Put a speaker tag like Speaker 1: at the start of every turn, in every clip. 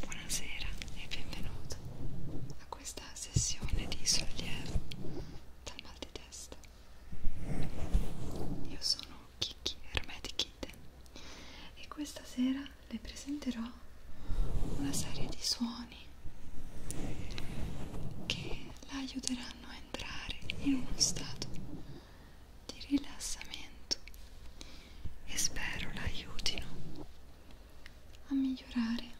Speaker 1: Buonasera e benvenuto a questa sessione di sollievo dal mal di testa. Io sono Kiki Ermeti Kitten e questa sera le presenterò una serie di suoni che la aiuteranno a entrare in uno stato di rilassamento e spero l'aiutino a migliorare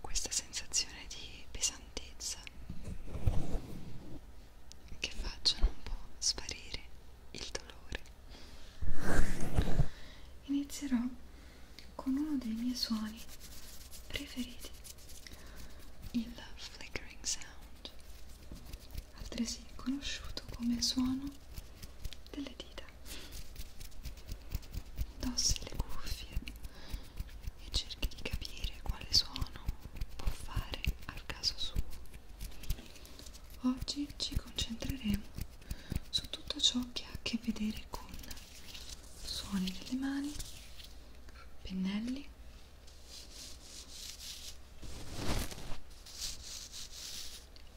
Speaker 1: questa sensazione di pesantezza che facciano un po' sparire il dolore inizierò con uno dei miei suoni preferiti il flickering sound, altresì conosciuto come suono delle dita. Indossi le cuffie e cerchi di capire quale suono può fare al caso suo. Oggi ci concentreremo su tutto ciò che ha a che vedere con suoni delle mani, pennelli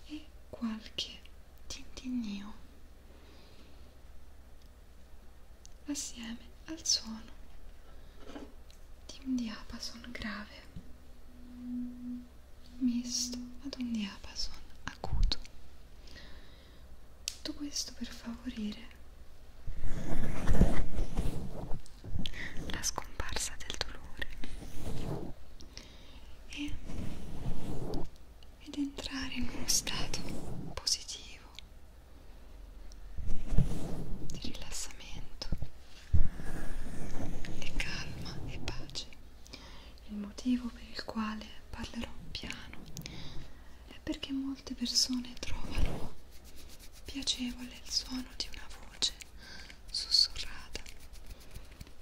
Speaker 1: e qualche tintinnio assieme al suono di un diapason grave misto ad un diapason acuto tutto questo per favorire la scomparsa del dolore e, ed entrare in uno stato positivo di rilassamento e calma e pace il motivo per il quale parlerò piano è perché molte persone trovano piacevole il suono di una voce sussurrata.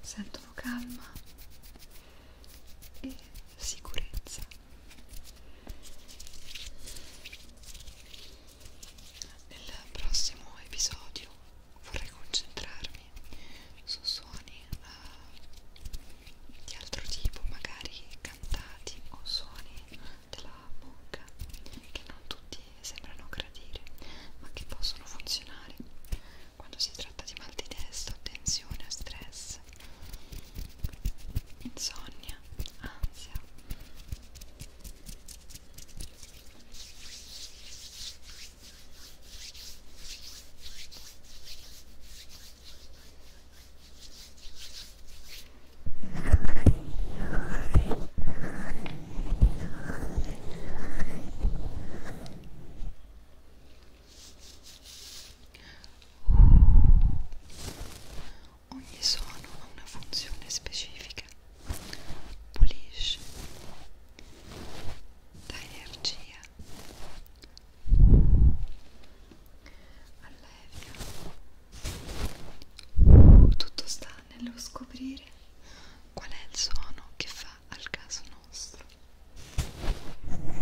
Speaker 1: Sentono calma e sicurezza. Nel prossimo episodio vorrei concentrarmi su suoni uh, di altro tipo, magari cantati o suoni della bocca che non tutti sembrano gradire ma che possono funzionare quando si tratta di mal di testa, tensione o stress insonnia, ansia Ogni suono ha una funzione specifica, pulisce, dà energia, allevia tutto sta nello scoprire qual è il suono che fa al caso nostro. Ecco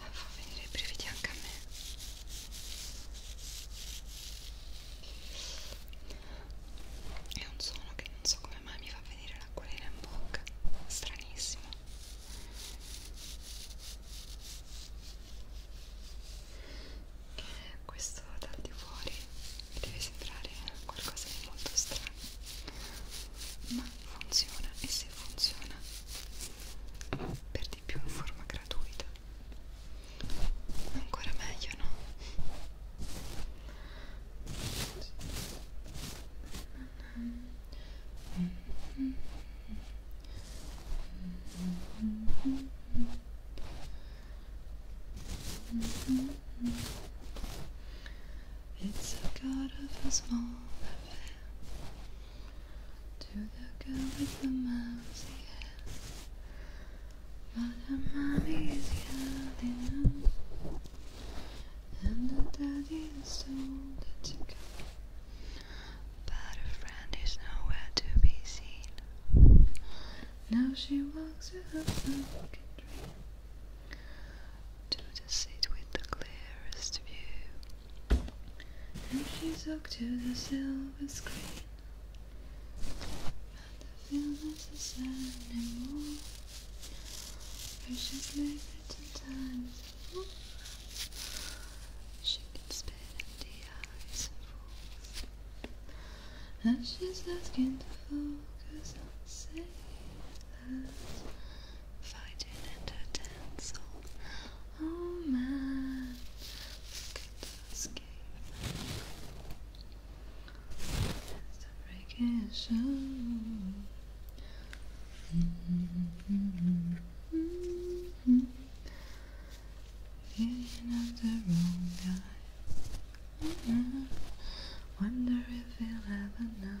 Speaker 1: ah, fa venire i brividi anche a me è un suono che non so come mai mi fa venire l'acquolina in bocca stranissimo questo dal di fuori deve sembrare qualcosa di molto strano ma funziona e se funziona per di più in forma gratuita ancora meglio no? It's a god of a small To the girl with the mouse hair But her mommy is yelling And her daddy is told her to go But her friend is nowhere to be seen Now she walks with her broken to the seat with the clearest view. And she talked to the silver screen. And the film is the same anymore. Precious liquid and time. She can spit in the eyes and falls. And she's asking to focus on saying that find and utensil. Oh man, look at those It's a breaking show. Feeling of the wrong guy. Wonder if he'll ever know.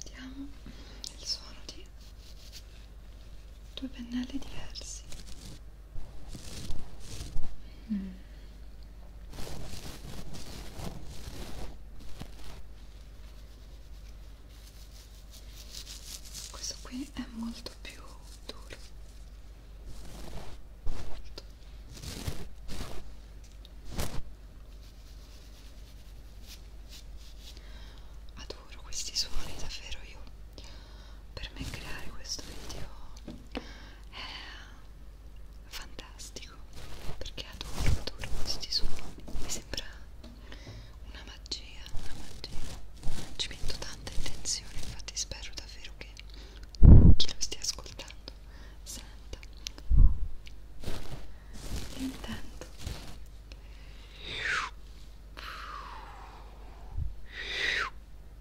Speaker 1: Abbiamo il suono di due pennelli diversi. Mm questo qui è molto più duro molto. adoro questi suoni davvero io per me creare questo video è fantastico perché adoro, adoro questi suoni mi sembra una magia, una magia ci metto tanta intenzione infatti spero davvero che chi lo stia ascoltando senta intanto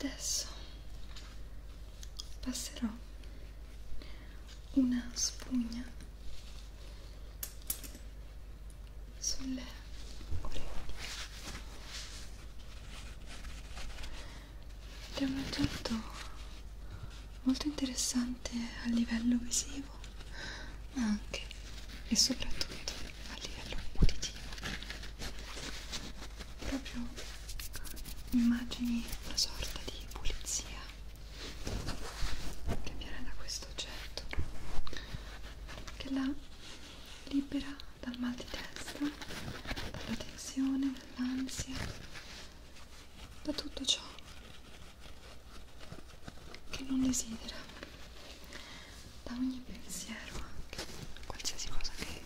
Speaker 1: Adesso passerò una spugna sulle orecchie ed è un oggetto molto interessante a livello visivo ma anche e soprattutto a livello uditivo proprio immagini una sorta di pulizia energia che viene da questo oggetto che la libera dal mal di testa, dalla tensione, dall'ansia, da tutto ciò che non desidera, da ogni pensiero anche, qualsiasi cosa che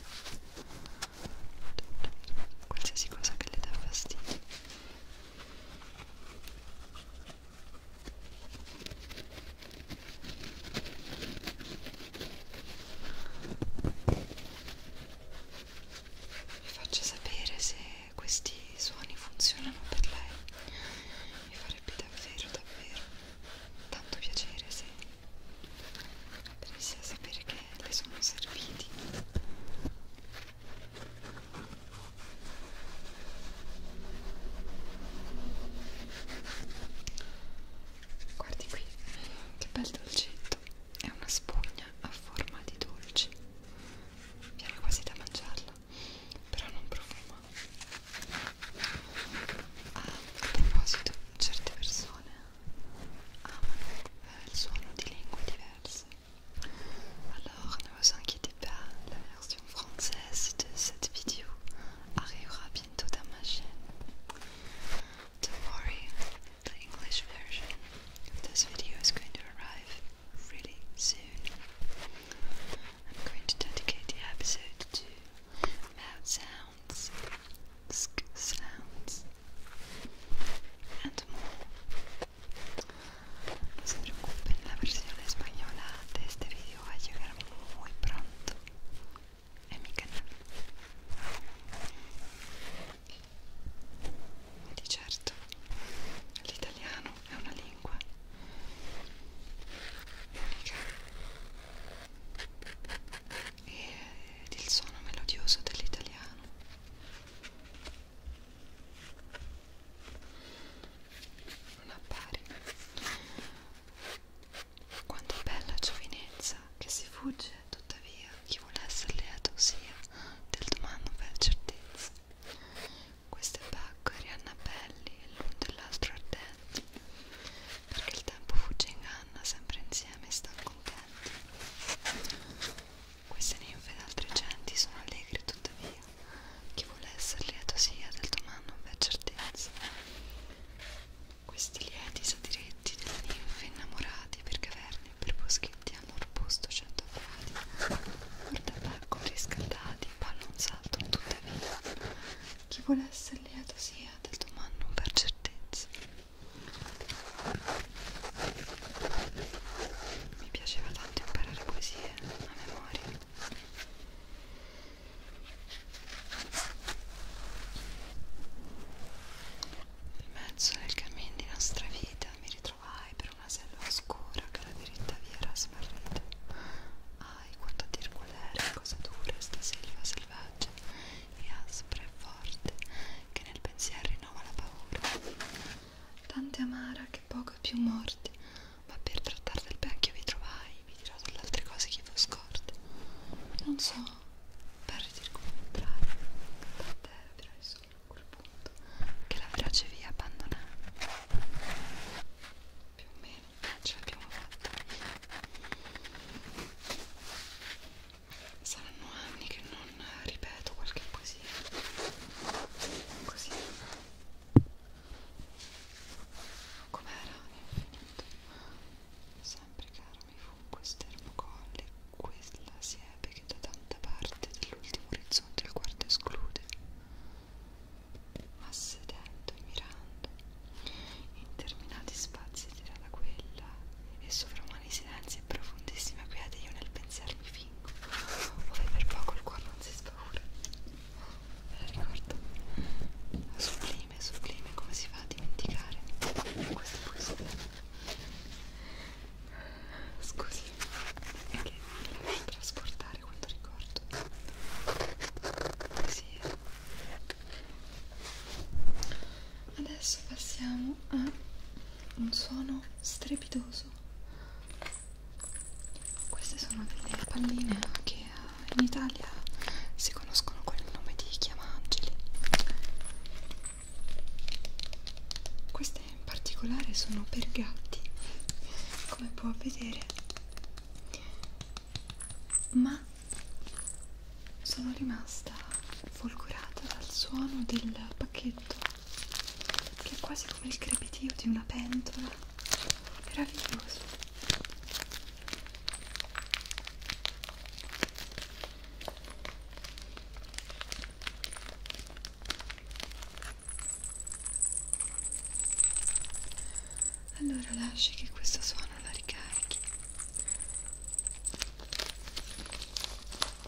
Speaker 1: qualsiasi cosa che le dà fastidio vi faccio sapere se questi suoni funzionano per lei mi farebbe davvero davvero tanto piacere se riesci a sapere che le sono serviti Guardi qui, che bel dolcetto. È una spugna a forma di dolce. Viene quasi da mangiarla, però non profuma. Ah, a proposito, certe persone amano il suono di lingue diverse. Alors ne vous inquiétez pas, la version française de cette vidéo arrivera bientôt dans ma chaîne. the English version of this video is going to arrive really soon. I'm going to dedicate the episode to mouth sounds, sk sounds, and more. No se preocupen, la versión española de este vídeo va a llegar muy pronto en mi canal. E di certo l'italiano è una lingua unica ed il suono melodioso dell'italiano non appare quanto bella giovinezza che si fugge tuttavia chi vuole essere lieto sia del domani per certezza queste pecore annabelli e l'un dell'altro ardenti perché il tempo fugge inganna sempre insieme stanno contenti queste ninfe ed altre genti sono allegre tuttavia, chi vuole essere lieto sia del domani non v'è certezza. Questi lieti sadiretti delle ninfe innamorati per caverne e per boschetti hanno arbusto cento gradi, or tabacco riscaldati, ballo un salto tuttavia, chi vuole essere lieto sia del domani non v'è certezza mi piaceva tanto imparare poesie a memoria nel mezzo del cammin di nostra vita mi ritrovai per una selva oscura che la diritta via era smarrita ahi quanto dir qual era cosa dura sta selva selvaggia e aspra e forte che nel pensiero rinnova la paura Tante amara che poco più morti, ma per trattar del vecchio vi trovai, vi dirò delle altre cose che vo scorte. Non so, per circumventrare, tant'era però il solo a quel punto che la feroce vi abbandonai. Più o meno ce l'abbiamo fatta. Saranno anni che non ripeto qualche cosina così com'era infinito sempre caro mi fu questo termocolle quella siepe che da tanta parte dell'ultimo orizzonte il quarto esclude ma sedendo e mirando interminati spazi tira da quella e sovramani silenzio ansia profondissima quiete io nel pensiero mi fingo ove per poco il cuore non si spaura me la ricordo sublime, sublime come si fa a dimenticare questa poesia Scusi, è che mi lascio trasportare quanto ricordo. Sì. Adesso passiamo a un suono strepitoso rosso queste sono delle palline che eh, in Italia si conoscono con il nome di chiamangeli queste in particolare sono per gatti come può vedere ma sono rimasta folgorata dal suono del pacchetto che è quasi come il crepitio di una pentola meraviglioso allora lasci che questo suono la ricarichi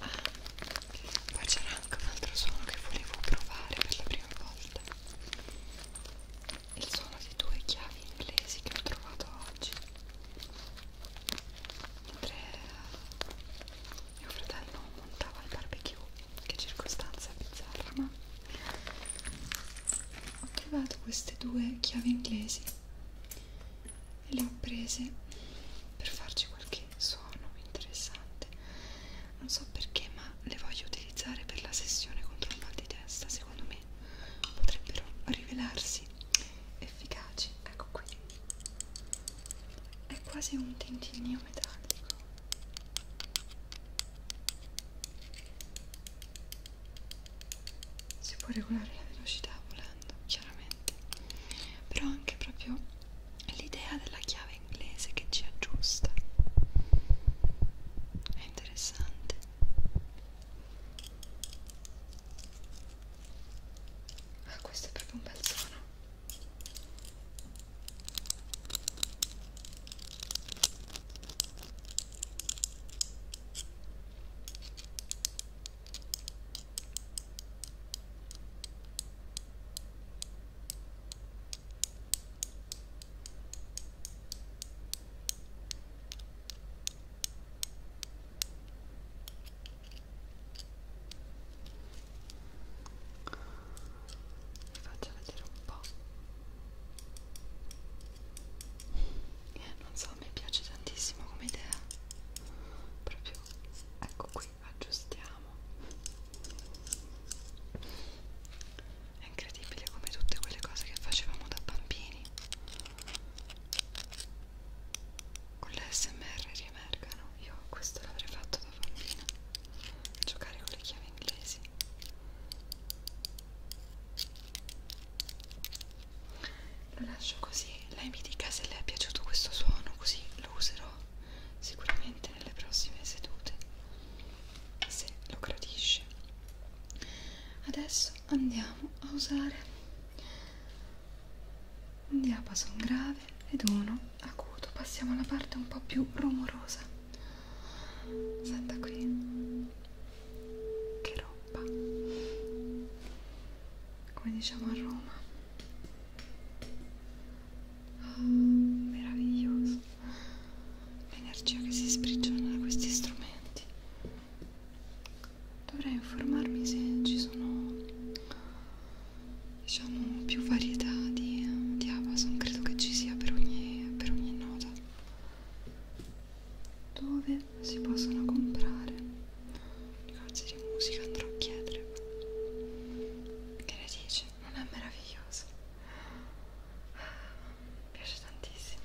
Speaker 1: Ah, poi c'era anche un altro suono che volevo provare per la prima volta il suono di due chiavi inglesi che ho trovato oggi mentre mio fratello montava il barbecue che circostanza bizzarra ma ho trovato queste due chiavi inglesi e le ho prese per farci qualche suono interessante non so perché ma le voglio utilizzare per la sessione contro il mal di testa secondo me che potrebbero rivelarsi efficaci ecco qui è quasi un tintinnio metallico si può regolare la velocità volando chiaramente però anche proprio l'idea della chiave inglese che ci aggiusta è interessante Ah, questo è proprio un bel suono vi faccio vedere un po' non so mi piace tantissimo come idea proprio ecco qui aggiustiamo è incredibile come tutte quelle cose che facevamo da bambini con l'ASMR riemergano io questo l'avrei fatto da bambina giocare con le chiavi inglesi lo lascio così lei mi dica se le è piaciuto questo suono così lo userò sicuramente nelle prossime sedute se lo gradisce adesso andiamo a usare un diapason grave ed uno acuto passiamo alla parte un po' più rumorosa senta qui che roba come diciamo a Roma oh, meraviglioso l'energia che si sprigiona da questi strumenti dovrei informarmi se ci sono diciamo più varietà di, di Amazon credo che ci sia per ogni, per ogni nota dove si possono comprare cose di musica andrò a chiedere che ne dici? non è meraviglioso? mi piace tantissimo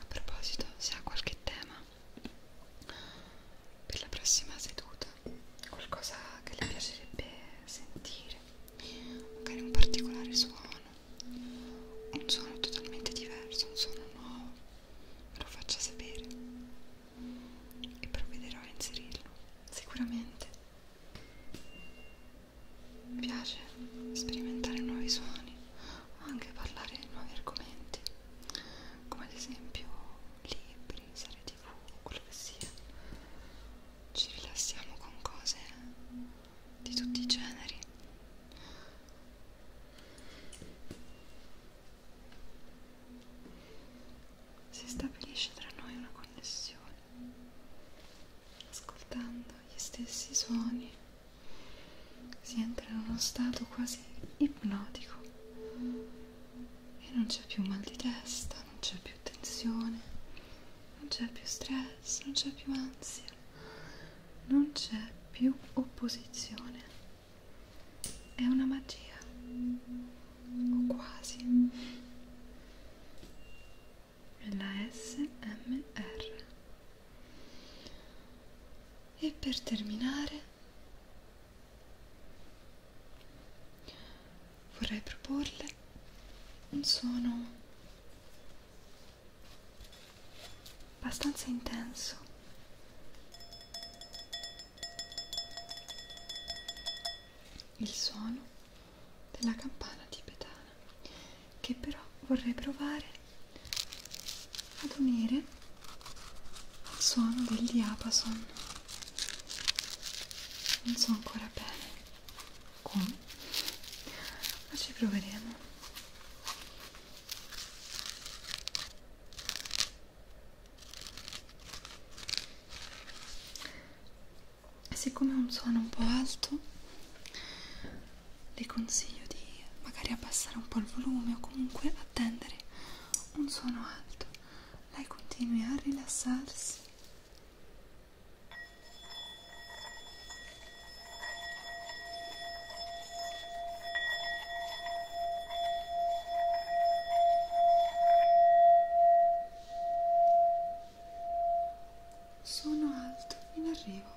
Speaker 1: A proposito, se ha qualche tema per la prossima seduta, qualcosa che le piacerebbe sentire, magari un particolare suono, un suono totalmente diverso, un suono nuovo, me lo faccia sapere e provvederò a inserirlo sicuramente. Mi piace sperimentare nuovi suoni o anche parlare di nuovi argomenti, come ad esempio libri, serie tv, quello che sia. Ci rilassiamo con cose di tutti i generi. Si stabilisce tra noi una connessione ascoltando gli stessi suoni si entra in uno stato quasi ipnotico e non c'è più mal di testa, non c'è più tensione, non c'è più stress, non c'è più ansia, non c'è più opposizione. È una magia, o quasi la SMR e per terminare vorrei proporle un suono abbastanza intenso il suono della campana tibetana che però vorrei provare ad unire al suono del diapason non so ancora bene come ma ci proveremo siccome è un suono un po' alto le consiglio di magari abbassare un po' il volume o comunque attendere un suono alto lei continui a rilassarsi sono alto, in arrivo.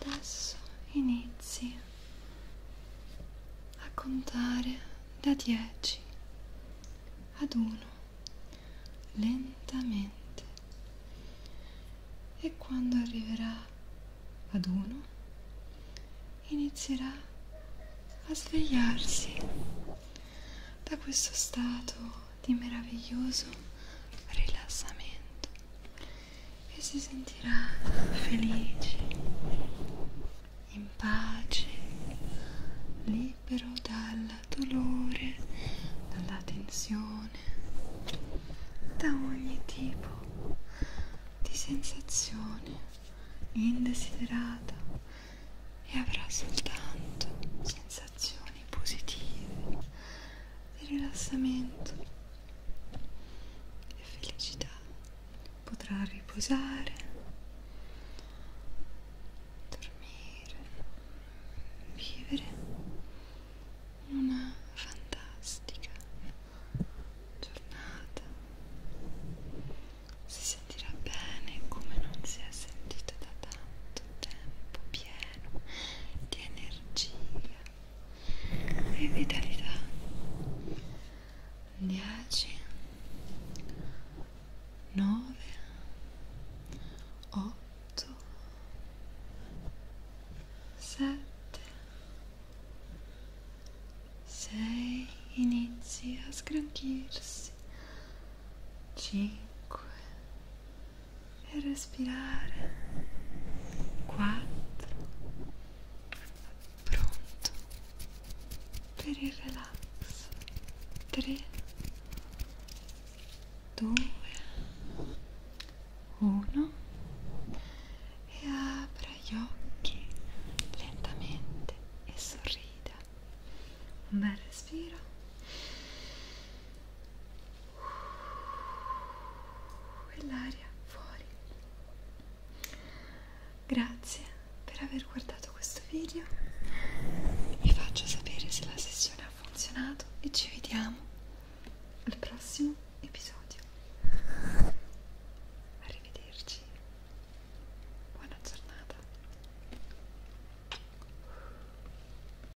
Speaker 1: Adesso inizi a contare da 10 ad 1 lentamente e quando arriverà ad 1 inizierà a svegliarsi da questo stato di meraviglioso rilassamento e si sentirà felice, in pace, libero dal dolore, dalla tensione, da ogni tipo di sensazione indesiderata e avrà soltanto sensazioni positive di rilassamento e felicità potrà riposare, dormire, vivere una fantastica giornata. Si sentirà bene come non si è sentita da tanto tempo pieno di energia e vitalità 10 9 8 7 6 inizi a sgranchirsi 5 4 3 2 1 e respirare. Quattro. Pronto per il relax. Tre. Due. Uno. E apra gli occhi lentamente e sorrida. Un bel respiro e l'aria fuori grazie per aver guardato questo video vi faccio sapere se la sessione ha funzionato e ci vediamo al prossimo episodio arrivederci buona giornata